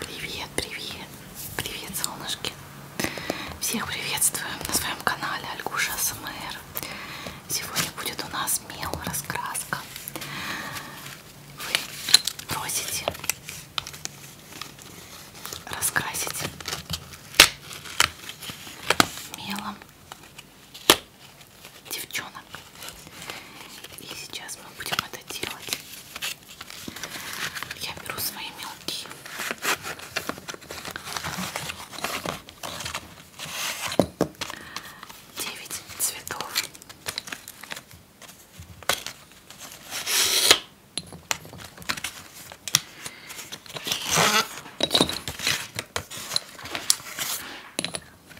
Привет, привет, привет, солнышки! Всех приветствую на своем канале Альгуша СМР. Сегодня будет у нас мел раскраска. Вы просите раскрасить мелом девчонок. И сейчас мы будем это делать. Я беру свои мелкие. Девять цветов.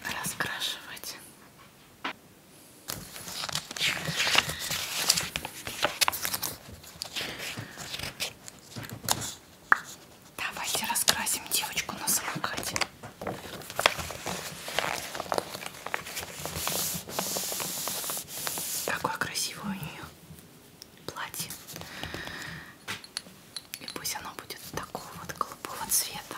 И раскрашивать Давайте раскрасим девочку на самокате. Какое красивое у нее платье. И пусть оно будет такого вот голубого цвета.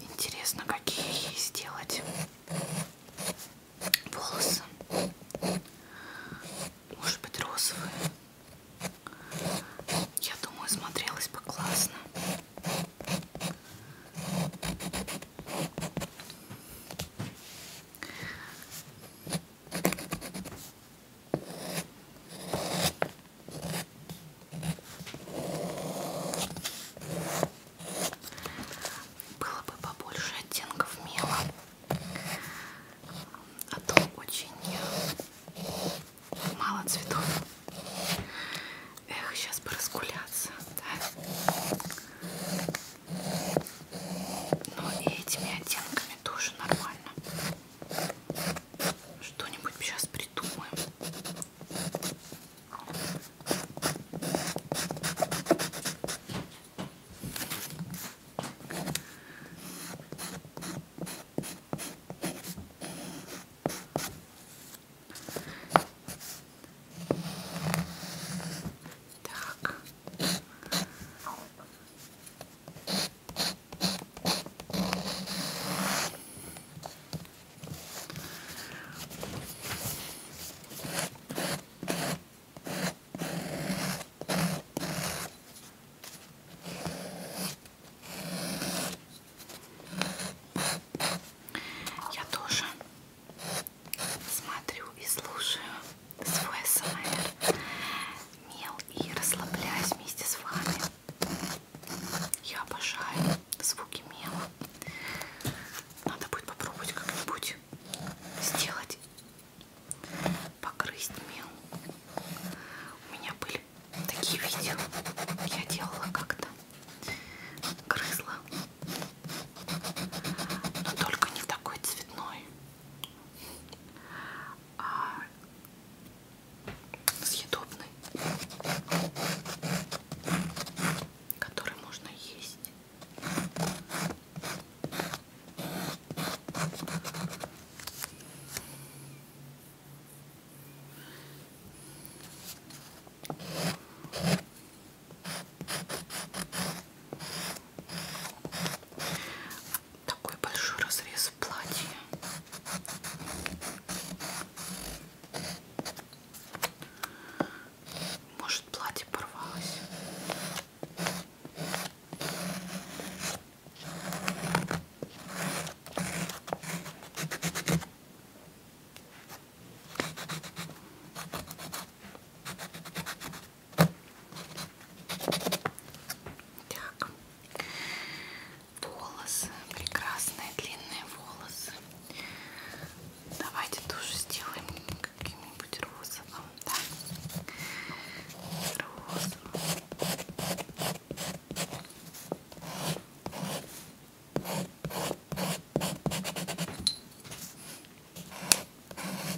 Интересно, какие ей сделать волосы. Может быть, розовые. Я думаю, смотрелась бы классно. Было бы побольше оттенков мела, а то очень мало цветов. Эх, сейчас бы разгуляться, да? Но и этими оттенками тоже нормально. Что-нибудь сейчас придумаем. Так, я тоже смотрю и слушаю свой асмр мел и расслабляюсь вместе с вами. Я обожаю звуки мела. Надо будет попробовать как-нибудь сделать, покрыть мел. У меня были такие видео, я делала как-то, грызла, но только не такой цветной а, съедобный, который можно есть. Такой большой разрез в платье. Может, платье порвалось. Так, волосы, прекрасные длинные волосы. Давайте тоже сделаем каким-нибудь розовым, да? Розовым. Так,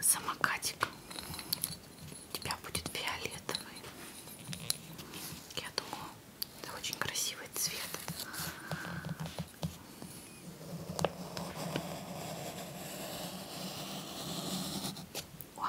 Самокатик у тебя будет фиолетовый. Я думаю, это очень красивый цвет. О.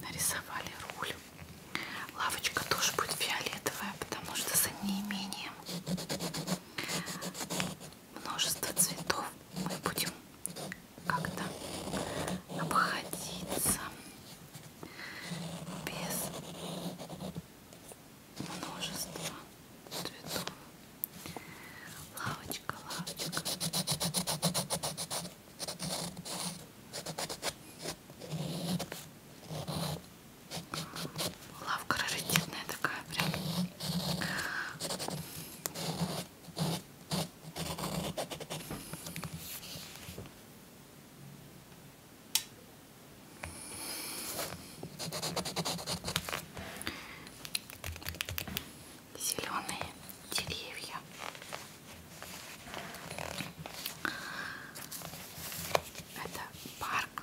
Нарисовали руль. Лавочка тоже будет фиолетовая, потому что за неимением множество цветов мы будем как-то обходиться без множества цветов. Лавочка, лавочка. Лавка раритетная такая прям. Зеленые деревья. Это парк.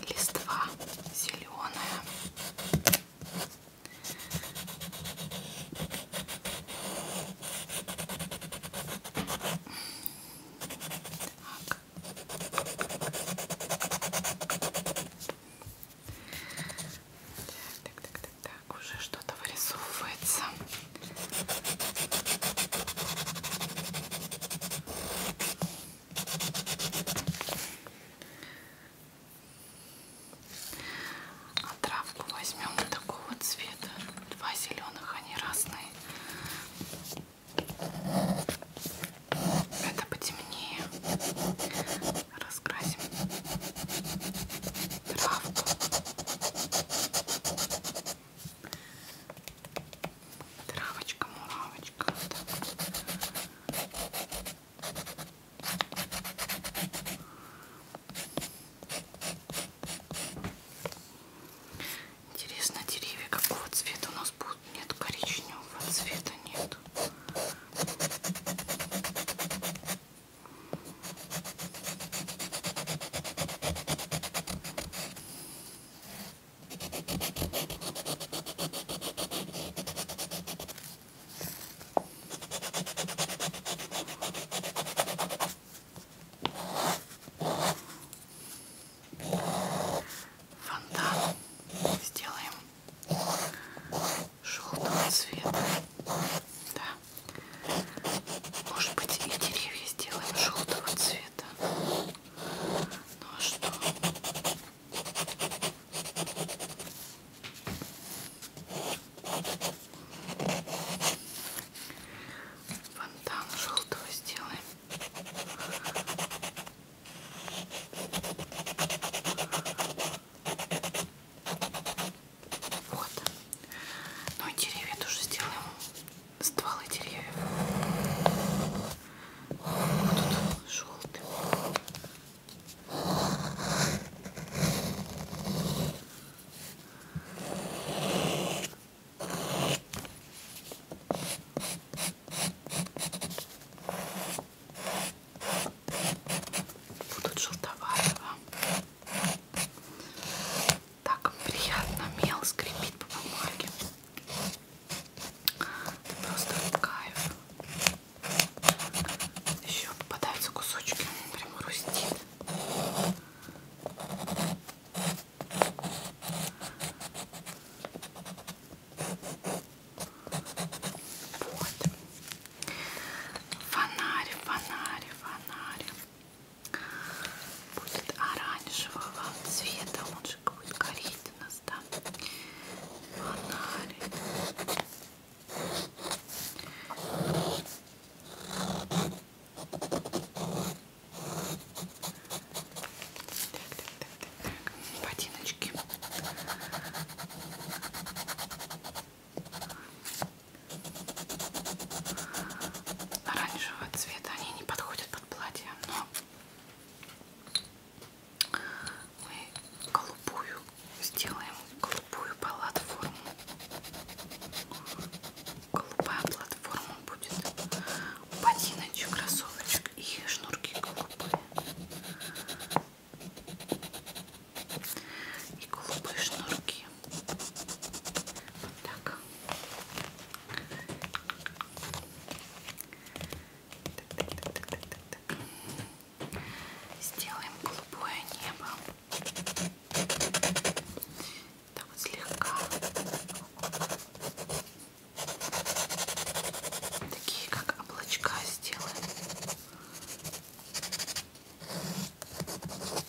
Листва зеленая. Так. Так, так, так, так, уже что-то вырисовывается. А травку возьмем такого цвета. Два зеленых, они разные. Это потемнее. Раскрасим травку. Травочка, муравочка. Вот так. Интересно, деревья какого цвета у нас будут? Нет, коричневого цвета нет. Фонтан сделаем желтого цвета. Да. Может быть и деревья сделаем желтого цвета. Ну а что? Фонтан желтого сделаем. Вот. Ну и деревья тоже сделаем. Стволы деревьев. Вот тут желтый. Будут желтоватого. Так приятно мел скрипит по бумаге. Это просто кайф. Еще попадаются кусочки, прямо хрустит. Вот. Фонарь, фонарь, фонарь. Будет оранжевого цвета, он же будет гореть у нас, да? Фонарь так. Ботиночки. Оранжевого цвета они не подходят под платье, но мы голубую сделаем голубую платформу голубая платформа будет ботиночек кроссовочек и шнурки голубые и голубые шнурки вот так так, так, так, так, так, так. Сделаем голубое небо. Так вот слегка. Такие как облачка сделаем. Голубые.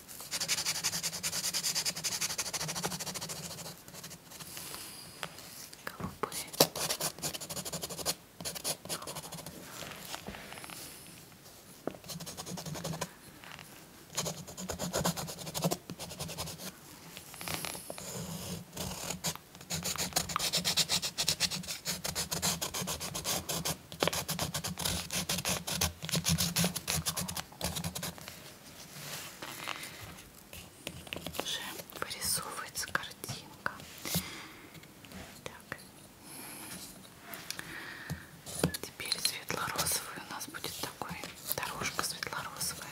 Уже вырисовывается картинка. Так. Теперь светло-розовый у нас будет такой, дорожка светло-розовая.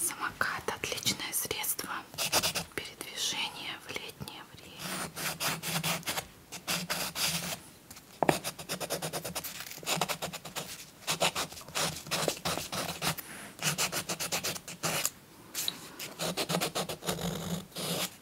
Самокат отличное средство передвижения в летнее время.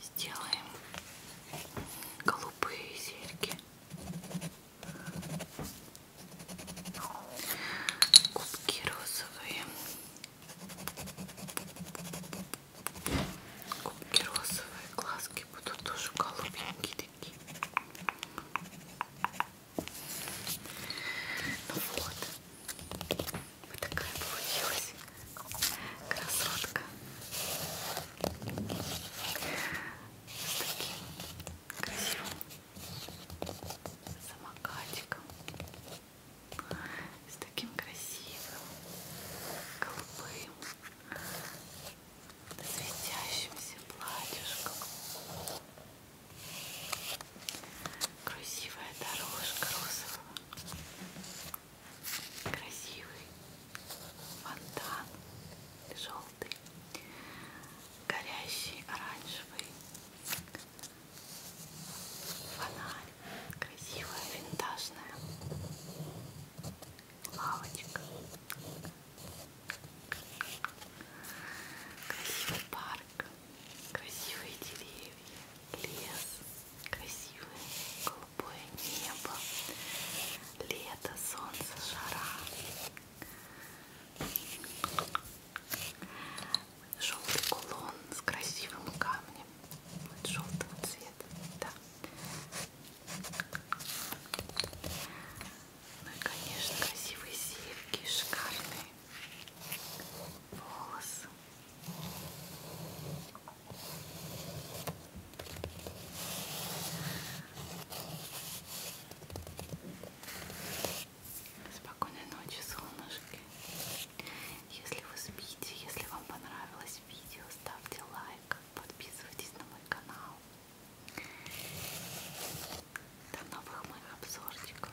сделаем голубые серьги. Губки розовые. Губки розовые, глазки будут тоже голубенькие такие. Ну вот. Вот такая получилась красотка с таким красивым самокатиком с таким красивым голубым светящимся платьюшком красивая дорожка розового красивый фонтан желтый, горящий оранжевый фонарь, красивая винтажная лавочка, красивый парк, красивые деревья, лес красивое голубое небо, лето, солнце, жара, желтый кулон с красивым камнем желтого цвета, да. Ну и, конечно, красивые серьги, шикарные волосы. Спокойной ночи, солнышки. Если вы спите, если вам понравилось видео, ставьте лайк, подписывайтесь на мой канал. До новых моих обзорчиков.